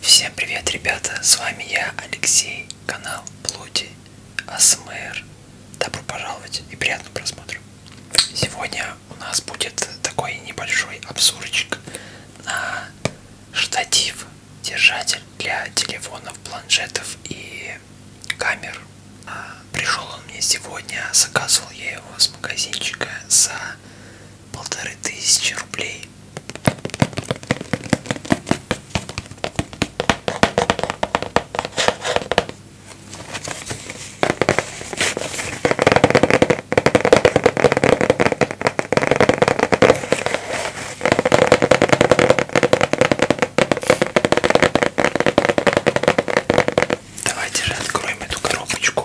Всем привет, ребята! С вами я, Алексей, канал Плоти АСМР. Добро пожаловать и приятного просмотра. Сегодня у нас будет такой небольшой обзорчик на штатив, держатель для телефонов, планшетов и камер. А, Пришел он мне сегодня, заказывал я его с магазинчика за полторы тысячи рублей. Давайте же откроем эту коробочку.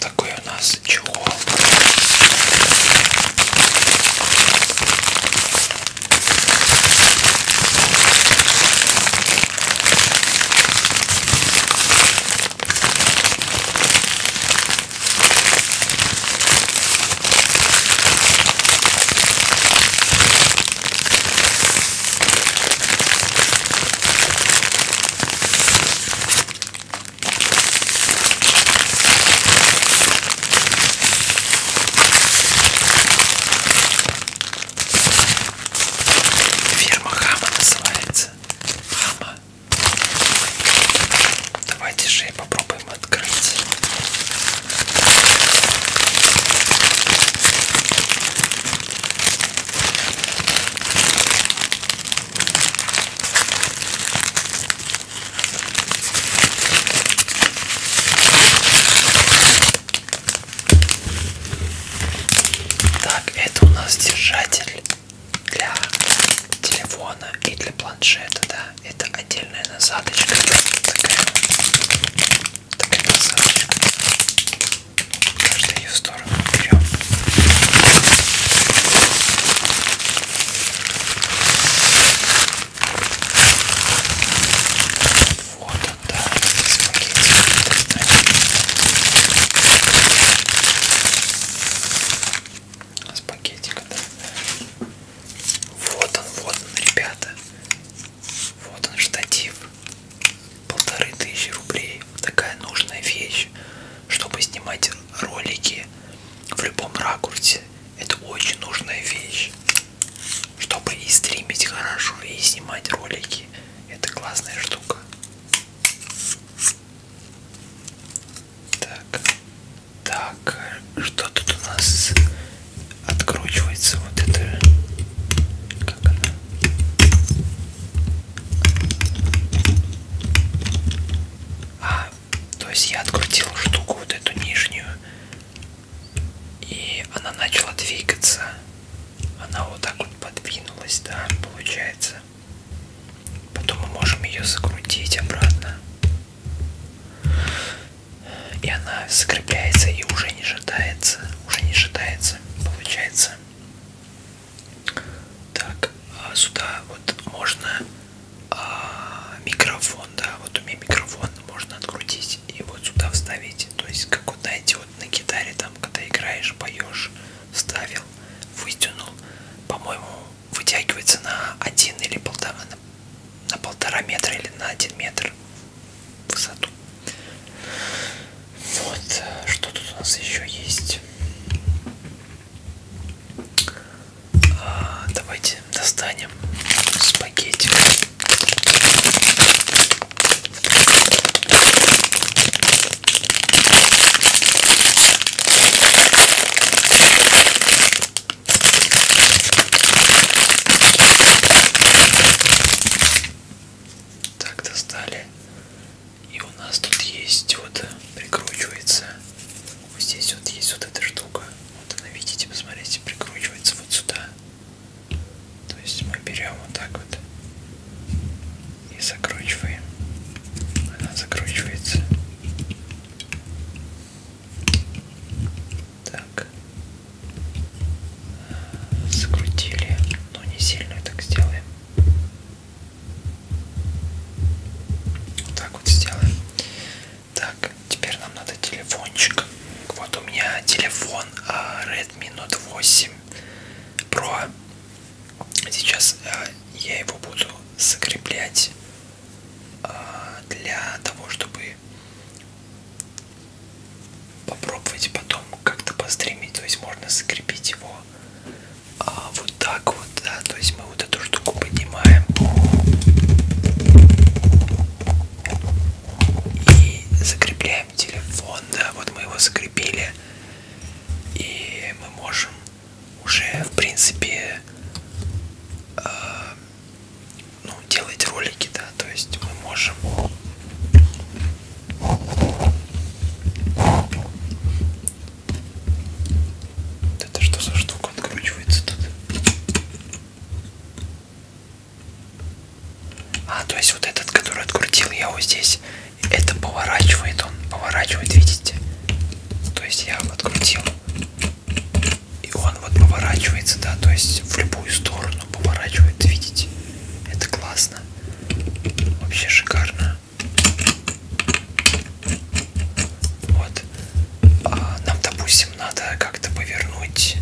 Такой у нас чехол. Фирма Хама называется. Хама. Давайте же я попробую попробуем открыть. Так, это у нас держатель для телефона и для планшета, да это отдельная насадочка. Такая, такая насадочка. Каждую ее сторону берем. Вот он, да, спагетти с пакетика да? вот он вот он ребята вот он штатив полторы тысячи рублей такая нужная вещь чтобы снимать ролики в любом ракурсе это очень нужная вещь чтобы и стримить хорошо и снимать ролики это классная штука так так, что тут у нас откручивается вот это? Как она? А, то есть я открутил штуку вот эту нижнюю, и она начала двигаться. Она вот так вот подвинулась, да, получается. Потом мы можем ее закрутить обратно. И она закрепляется и уже не шатается. Уже не шатается, получается. Так, а сюда вот можно а, микрофон, да, вот у меня микрофон можно открутить и вот сюда вставить. То есть, как вот знаете, вот на гитаре там, когда играешь, поешь, вставил, вытянул. По-моему, вытягивается на один или полтора, на полтора метра или на один метр в высоту. Вот, что тут у нас еще есть? А, давайте достанем спагетти. Так, достали. И у нас тут есть вот э, прикручивается. Вот здесь вот есть вот эта штука. Вот она, видите, посмотрите, прикручивается вот сюда. То есть мы берем вот так вот и закручиваем. Она закручивается. Так. Закрутили. Но не сильно так сделаем. Вот так вот сделаем. Так, теперь нам надо телефончик. Вот у меня телефон а, Redmi Note 8 Pro. Сейчас э, я его буду закреплять э, для того, чтобы попробовать потом как-то постримить. То есть можно закрепить его э, вот так вот, да. То есть мы вот эту штуку поднимаем и закрепляем телефон, да. Вот мы его закрепили и мы можем уже в принципе э, ну, делать ролики, да, то есть мы можем вот это что за штука откручивается тут? А, то есть вот этот, который открутил, я его здесь это поворачивает он, поворачивает, видите? То есть я открутил, и он вот поворачивается, да, то есть в любую сторону поворачивает, видите? Это классно, вообще шикарно. Вот, а нам, допустим, надо как-то повернуть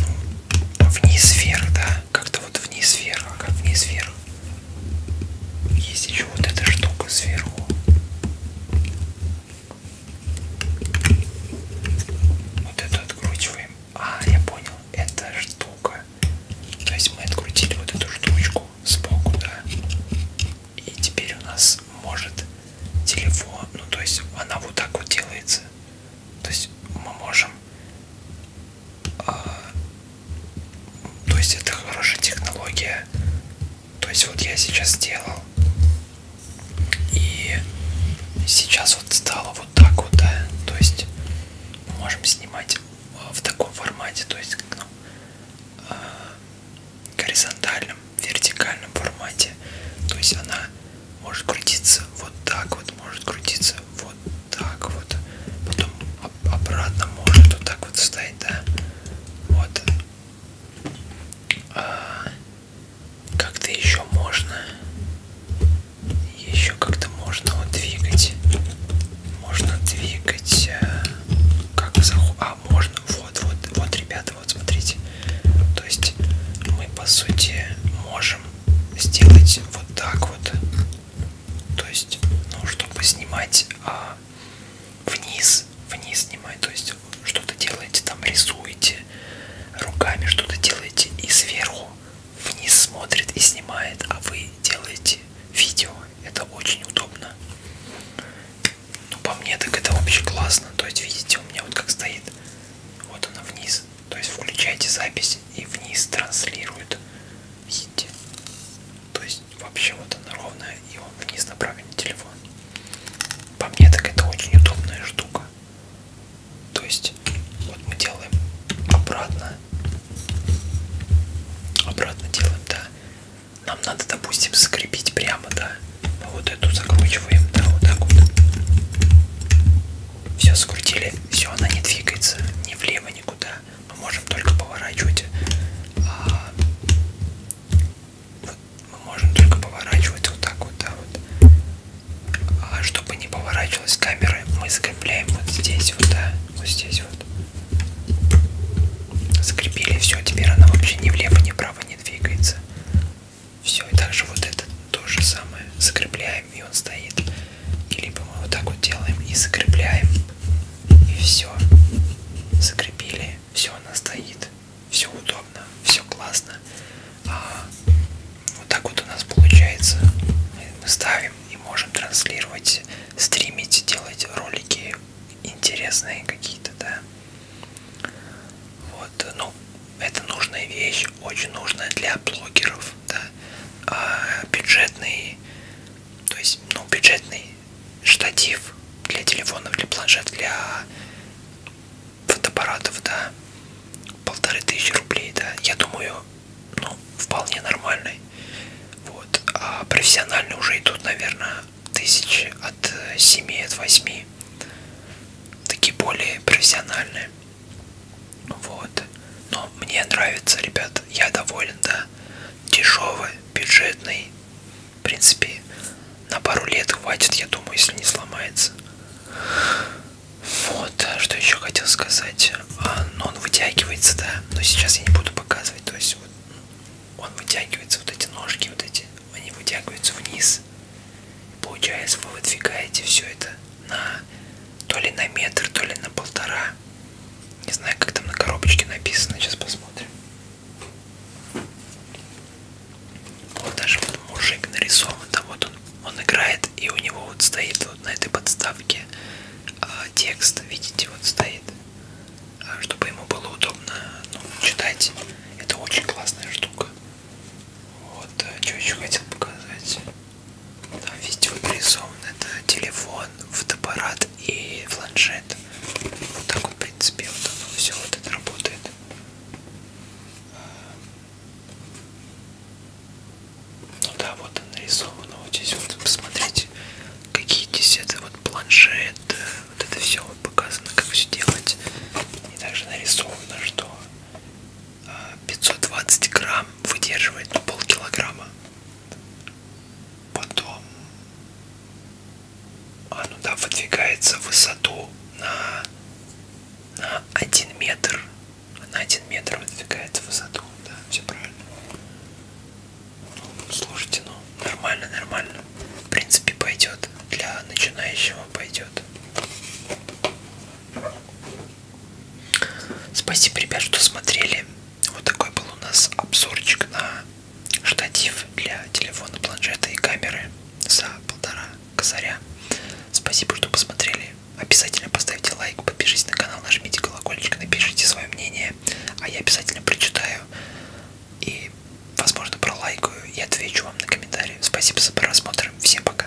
ну, вниз вверх, да, как-то вот вниз вверх, как вниз вверх. Есть еще вот эта штука сверху. Вот эту откручиваем. А, я понял, это штука. То есть мы открутили вот эту штучку сбоку, да. И теперь у нас может телефон, ну то есть она вот так вот делается. То есть мы можем а, то есть это хорошая технология. То есть вот я сейчас делал. И сейчас вот стало вот так вот, да. То есть мы можем снимать а, в таком формате, то есть ну, а, горизонтальном, вертикальном формате. То есть она может крутиться вот так вот, может крутиться вот так вот, потом обратно может вот так вот встать, да, вот. А как-то еще можно, еще как-то можно вот двигать, можно двигать, э, как заху, а можно, вот, вот, вот, ребята, вот смотрите, то есть мы по сути можем сделать вот так вот то есть, ну, чтобы снимать а, вниз, вниз снимать, то есть что-то делаете, там рисуете руками, что-то делаете и сверху вниз смотрит и снимает, а вы делаете видео, это очень удобно. Ну, по мне так это вообще классно, то есть, видите, у меня вот как стоит, вот она вниз, то есть включаете запись и вниз транслирует видите? То есть вообще вот она ровная и он вниз направлен телефон. По мне так это очень удобная штука. То есть вот мы делаем обратно. Обратно делаем, да. Нам надо, допустим, закрепить прямо, да. Мы вот эту закручиваем, да, вот так вот. Все, скрутили. Все, она не двигается ни влево, никуда мы можем только поворачивать а, мы можем только поворачивать вот так вот, да, вот. А чтобы не поворачивалась камера, мы закрепляем вот здесь вот, да, вот здесь вот. Закрепили, все, теперь она вообще ни влево, ни вправо не двигается. Все, и также вот это то же самое. Закрепляем закручиваем, и он стоит. И либо мы вот так вот делаем и закрепляем. И все. Закрепили. Все, она стоит. Все удобно. Все классно. А вот так вот у нас получается. Мы ставим и можем транслировать, стримить, делать ролики интересные какие-то, да. Вот, ну, это нужная вещь, очень нужная для блогеров, долларов, да, а бюджетный, то есть, ну, бюджетный штатив для телефонов, для планшет, для фотоаппаратов, да, полторы тысячи рублей, да, я думаю, ну, вполне нормальный, вот, а профессиональные уже идут, наверное, тысячи от 7, от 8, такие более профессиональные. Вот. Но мне нравится, ребят. Я доволен, да. Дешевый, бюджетный. В принципе, на пару лет хватит, я думаю, если не сломается. Вот, а что еще хотел сказать. А, но он вытягивается, да. Но сейчас я не буду показывать. То есть вот он вытягивается, вот эти ножки, вот эти, они вытягиваются вниз. Получается, вы выдвигаете все это на то ли на метр, то ли на полтора. Не знаю, как там на коробочке написано. Сейчас посмотрим. Вот даже вот мужик нарисован, там вот он, он играет, и у него вот стоит вот на этой подставке э, текст, видите, вот стоит, а, чтобы ему было удобно ну, читать. Это очень классная штука. Вот, э, что еще хотел показать. Там видео нарисован. Это телефон, фотоаппарат и планшет. Вот так вот, в принципе, вот оно все вот это работает. Ну да, вот он нарисован. Вот здесь вот посмотрите, какие здесь это вот планшет. Э, вот это все вот показано, как все делать. И также нарисовано, что 520 грамм выдерживает ну, полкилограмма. Потом оно да, выдвигается в высоту на, на 1 метр. На 1 метр выдвигается в высоту. Да, все правильно. Ну, слушайте, ну нормально, нормально. В принципе, пойдет. Для начинающего пойдет. Спасибо, ребят, что смотрели. Вот такой был у нас обзорчик на штатив для телефона, планшета и камеры за полтора косаря. Спасибо, что посмотрели. Обязательно поставьте лайк, подпишитесь на канал, нажмите колокольчик, напишите свое мнение, а я обязательно прочитаю и, возможно, пролайкаю и отвечу вам на комментарии. Спасибо за просмотр. Всем пока.